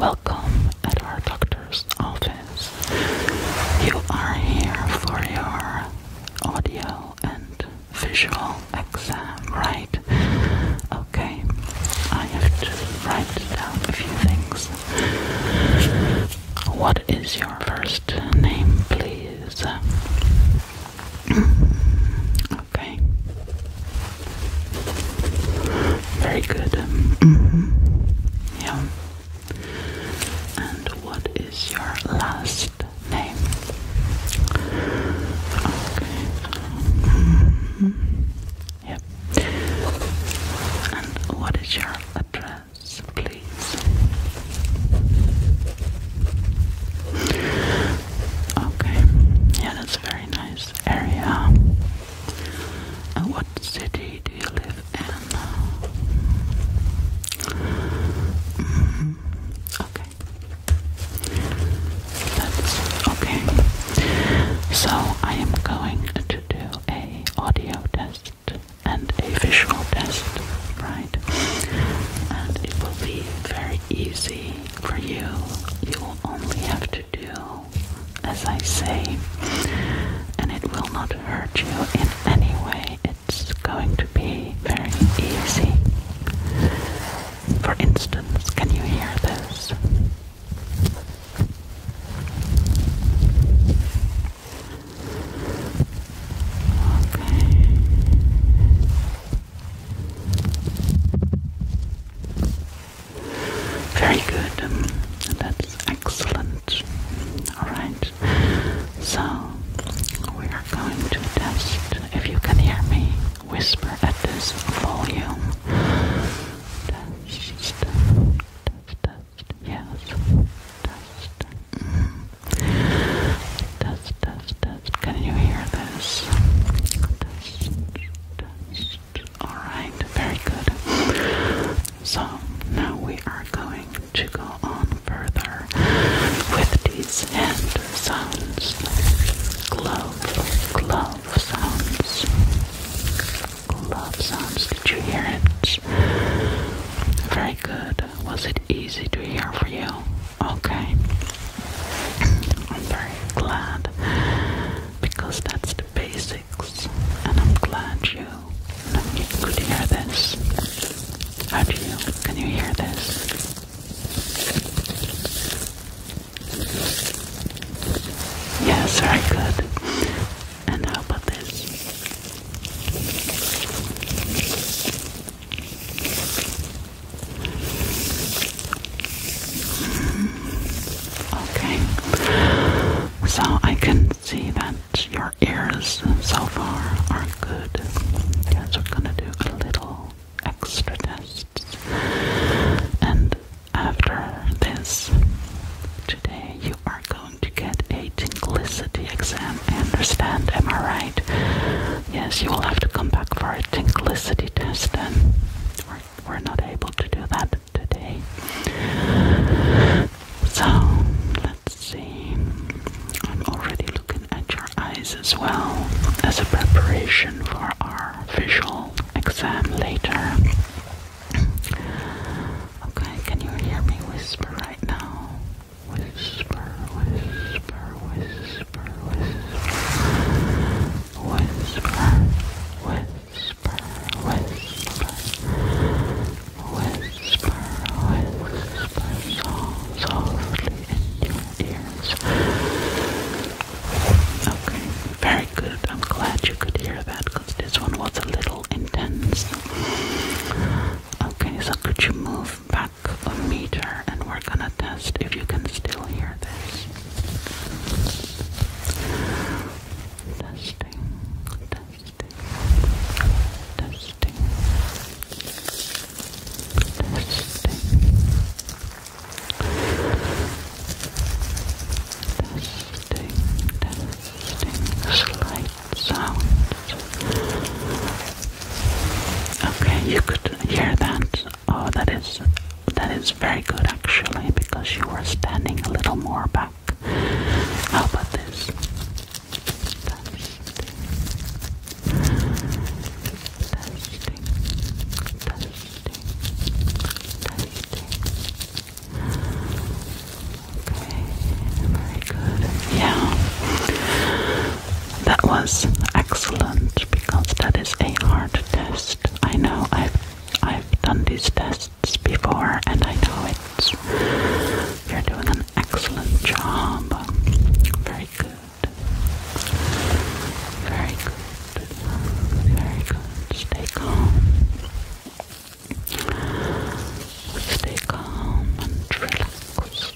Welcome at our doctor's office. You are here for your audio and visual exam, right? Okay, I have to write down a few things. What is your first name, please? okay. Very good. Mm-hmm. Yeah. And what is your last name? Okay. Yep. And what is your address, please? Okay. Yeah, that's a very nice area. And uh, what city do you live in? Mm, okay. That's okay. So I am going to do a audio test and a visual test, right? And it will be very easy for you. You only have to do as I say, and it will not hurt you in any way. It's going to be very easy. For instance, can you hear this? Okay. Very good. Um, that's excellent. Alright. So, we are going to test if you can hear me whisper at this volume. Yes. Can you hear this? Alright, very good. So now we are going to go on further with these hand sounds. Glove, glove sounds. Glove sounds. Did you hear it? Very good. Was it easy to hear for you? Okay. I'm very glad because that's the basics, and I'm glad you could hear this. How you? Can you hear this? Yes, I could. And how about this? Okay, so I can see that your ears so far are good. Yes, we're gonna do a little extra tests, and after this today, you are going to get a tinglicity exam. I understand? Am I right? Yes, you will have to come back for a tinglicity test, and we're, we're not able to do that today. So let's see. I'm already looking at your eyes as well as a preparation for our visual exam later. Okay, can you hear me whisper right now? Whisper, whisper, whisper, whisper, whisper, whisper whisper, whisper, whisper, whisper softly in your ears. Okay, very good. I'm glad you could hear that because this one was a little intense. Okay, so could you move back a meter and we're gonna test if you can still hear this testing, testing, testing, testing, testing, testing, slight sounds. Okay, you could hear that. Oh, that is that is very good actually because you were standing a little more back. How about this? Okay, very good. Yeah. That was excellent because that is a hard test. I know I've I've done these tests podcasts before, and I know it's you're doing an excellent job. Very good. Very good. Very good. Stay calm. Stay calm and relaxed.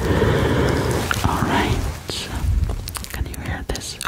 Please. Alright. Can you hear this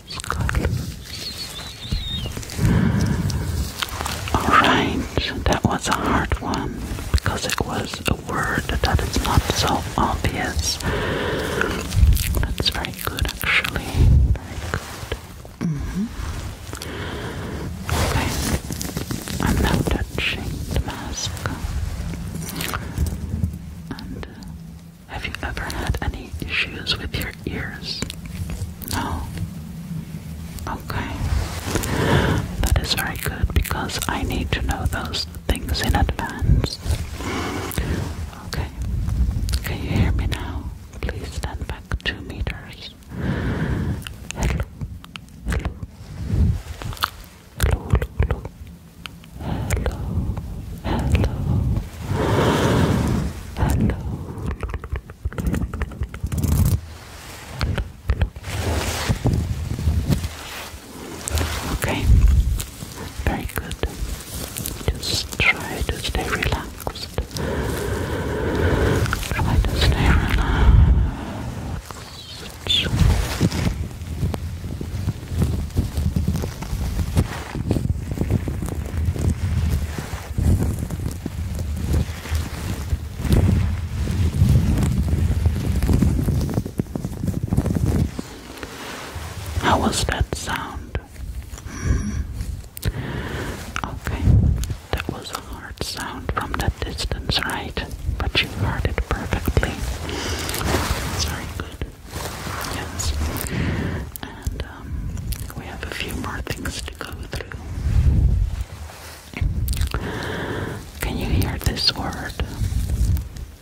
Alright, that was a hard one because it was a word that is not so obvious. That's very good, actually. Very good. Mm-hmm. Okay, I'm now touching the mask. Uh, have you ever had any issues with your ears? No. Okay. That is very good because I need to know those things in advance. Okay. Can you hear me now? Please stand back two meters. Hello. Hello. Hello. Hello hello, hello, hello. Okay, very good. Just try to stay relaxed. Try to stay relaxed. How was that sound? Okay, that was a hard sound from that distance, right? But you heard it perfectly. It's very good. Yes. And um, we have a few more things to go through. Can you hear this word?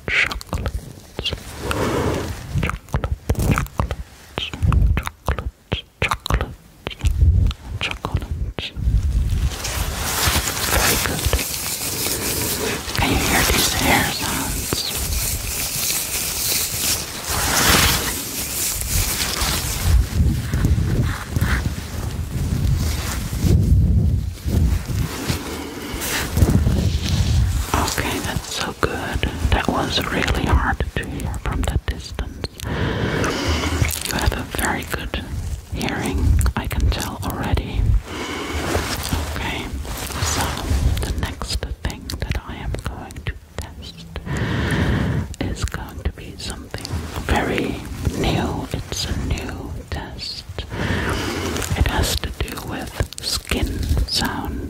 Chocolate. Chocolate. Chocolate. Chocolate. Chocolate. Chocolate. Very good. Can you hear these hair sounds? Okay, that's so good. That was really hard to hear from the distance. You have a very good hearing, I can tell already. Okay, so the next thing that I am going to test is going to be something very new. It's a new test. It has to do with skin sounds.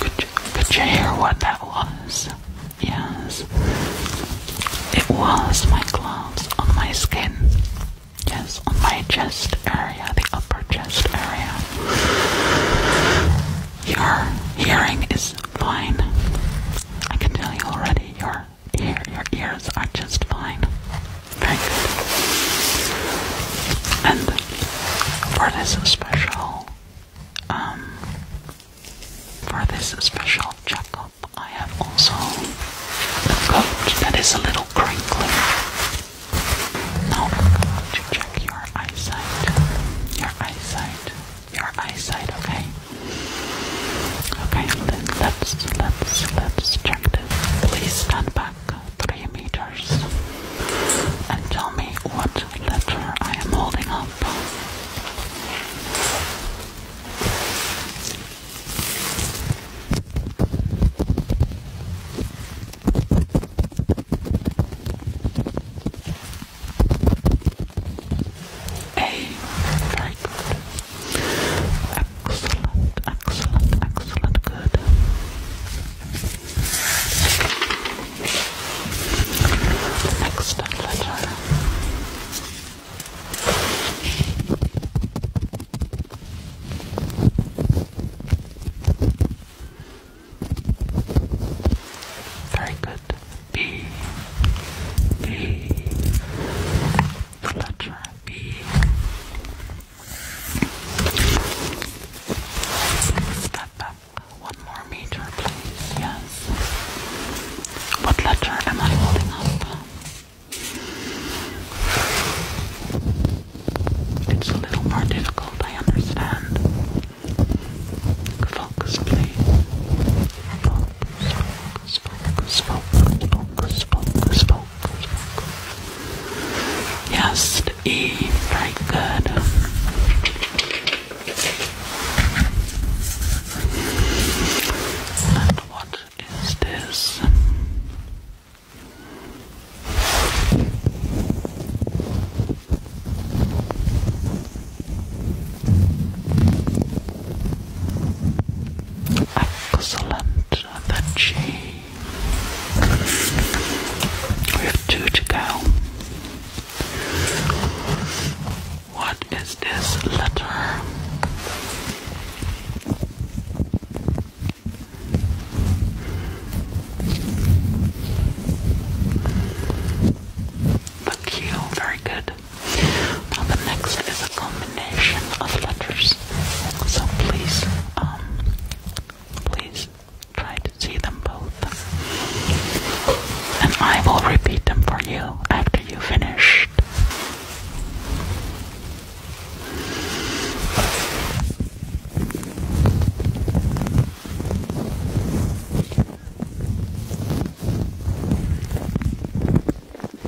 Could you, could you hear what that was? Yes. It was my gloves on my skin. Yes, on my chest area, the upper chest area. Your hearing is fine. I can tell you already your here your ears are just fine. Thank you. And for this special, um, for this special checkup, I have also a coat that is a little crinkly. Now to check your eyesight, your eyesight, your eyesight. Okay. Okay. Let's let's let's check please stand back three meters and tell me what letter I am holding up. A. Excellent, excellent, excellent, good. Next letter. Very good. B. B. The letter B one more meter, please. Yes. What letter am I holding up? It's a little more difficult, I understand. Focus, please. Yes, E. Very good. And what is this? Excellent the G. We have two to go. What is this letter? The Q, very good. Now the next is a combination of letters. So please, um, please try to see them both. And I will repeat them for you after you finish. Excellent.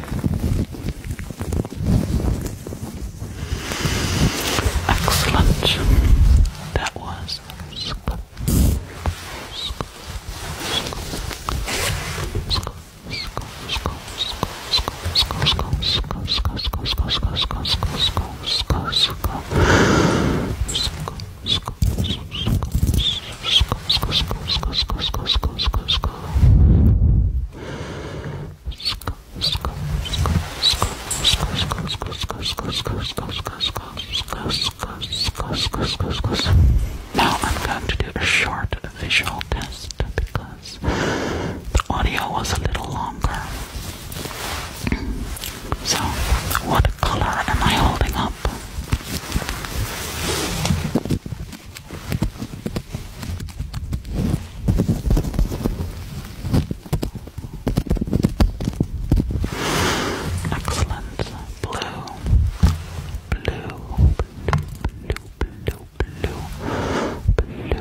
That was scoop, scoop, scoop, now I'm going to do a short visual test because the audio was a little longer. So, what color am I holding up? Excellent. Blue. Blue. Blue. Blue. Blue. Blue. Blue.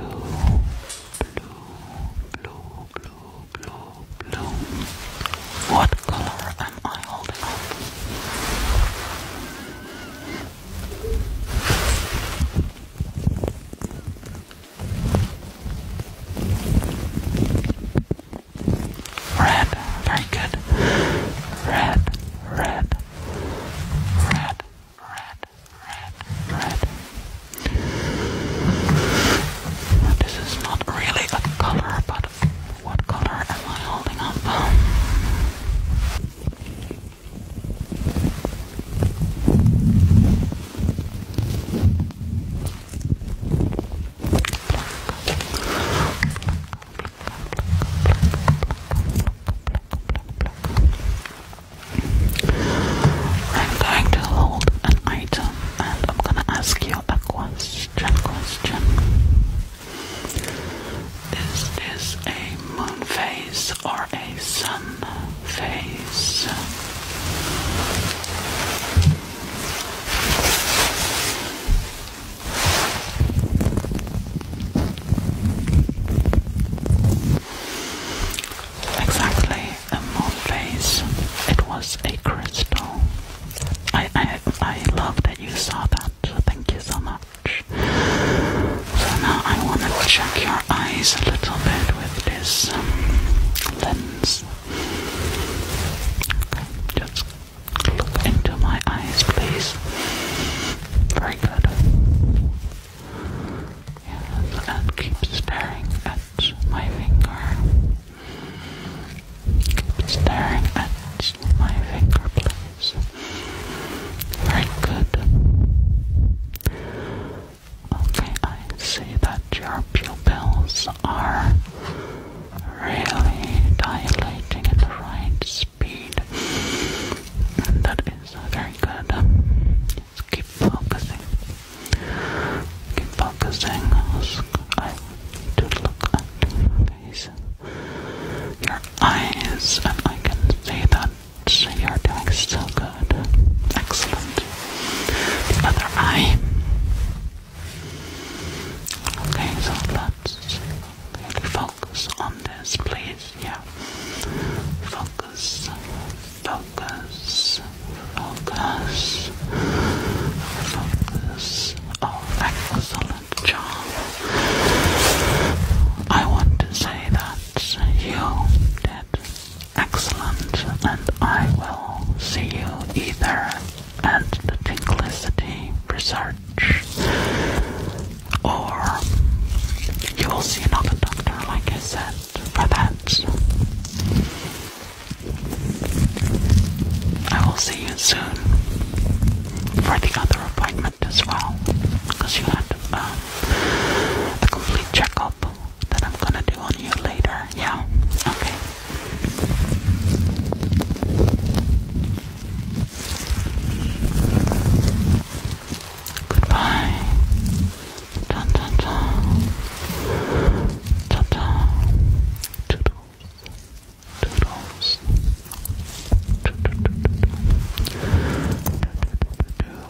Blue. Blue. Blue. Blue. What color am I holding up? Red, very good. Red, red, red, red, red, red. This is not really a color, but what color am I holding up? I'm going to hold an item and I'm going to ask you a question. Question. This Is a moon phase or a sun phase? Exactly, a moon phase. It was a crystal. I I I love that you saw that. Thank you so much. So now I want to check your eyes a little bit with this um, lens. just look into my eyes, please. Very good. and keep staring at my finger. Keep staring at my finger, please. Very good. Okay, I see that your pupils are really dilating at the right speed. that is uh, very good. keep focusing. Keep focusing. I need to look at Your eyes, and I can see that so You're doing so good. Excellent. The eye. Okay, so let's focus on this, please. Yeah. Focus. Focus. Focus. Focus. Oh, excellent job. I want to say say you did excellent, and I will see you either at the Tinklicity Research or you will see another doctor, like I said, for that. I will see you soon for the other appointment as well, because you had um, complete checkup that I'm gonna do on you later. Yeah. Okay. Goodbye. Ta ta ta. Ta ta. Toodles. Toodles. Do do do do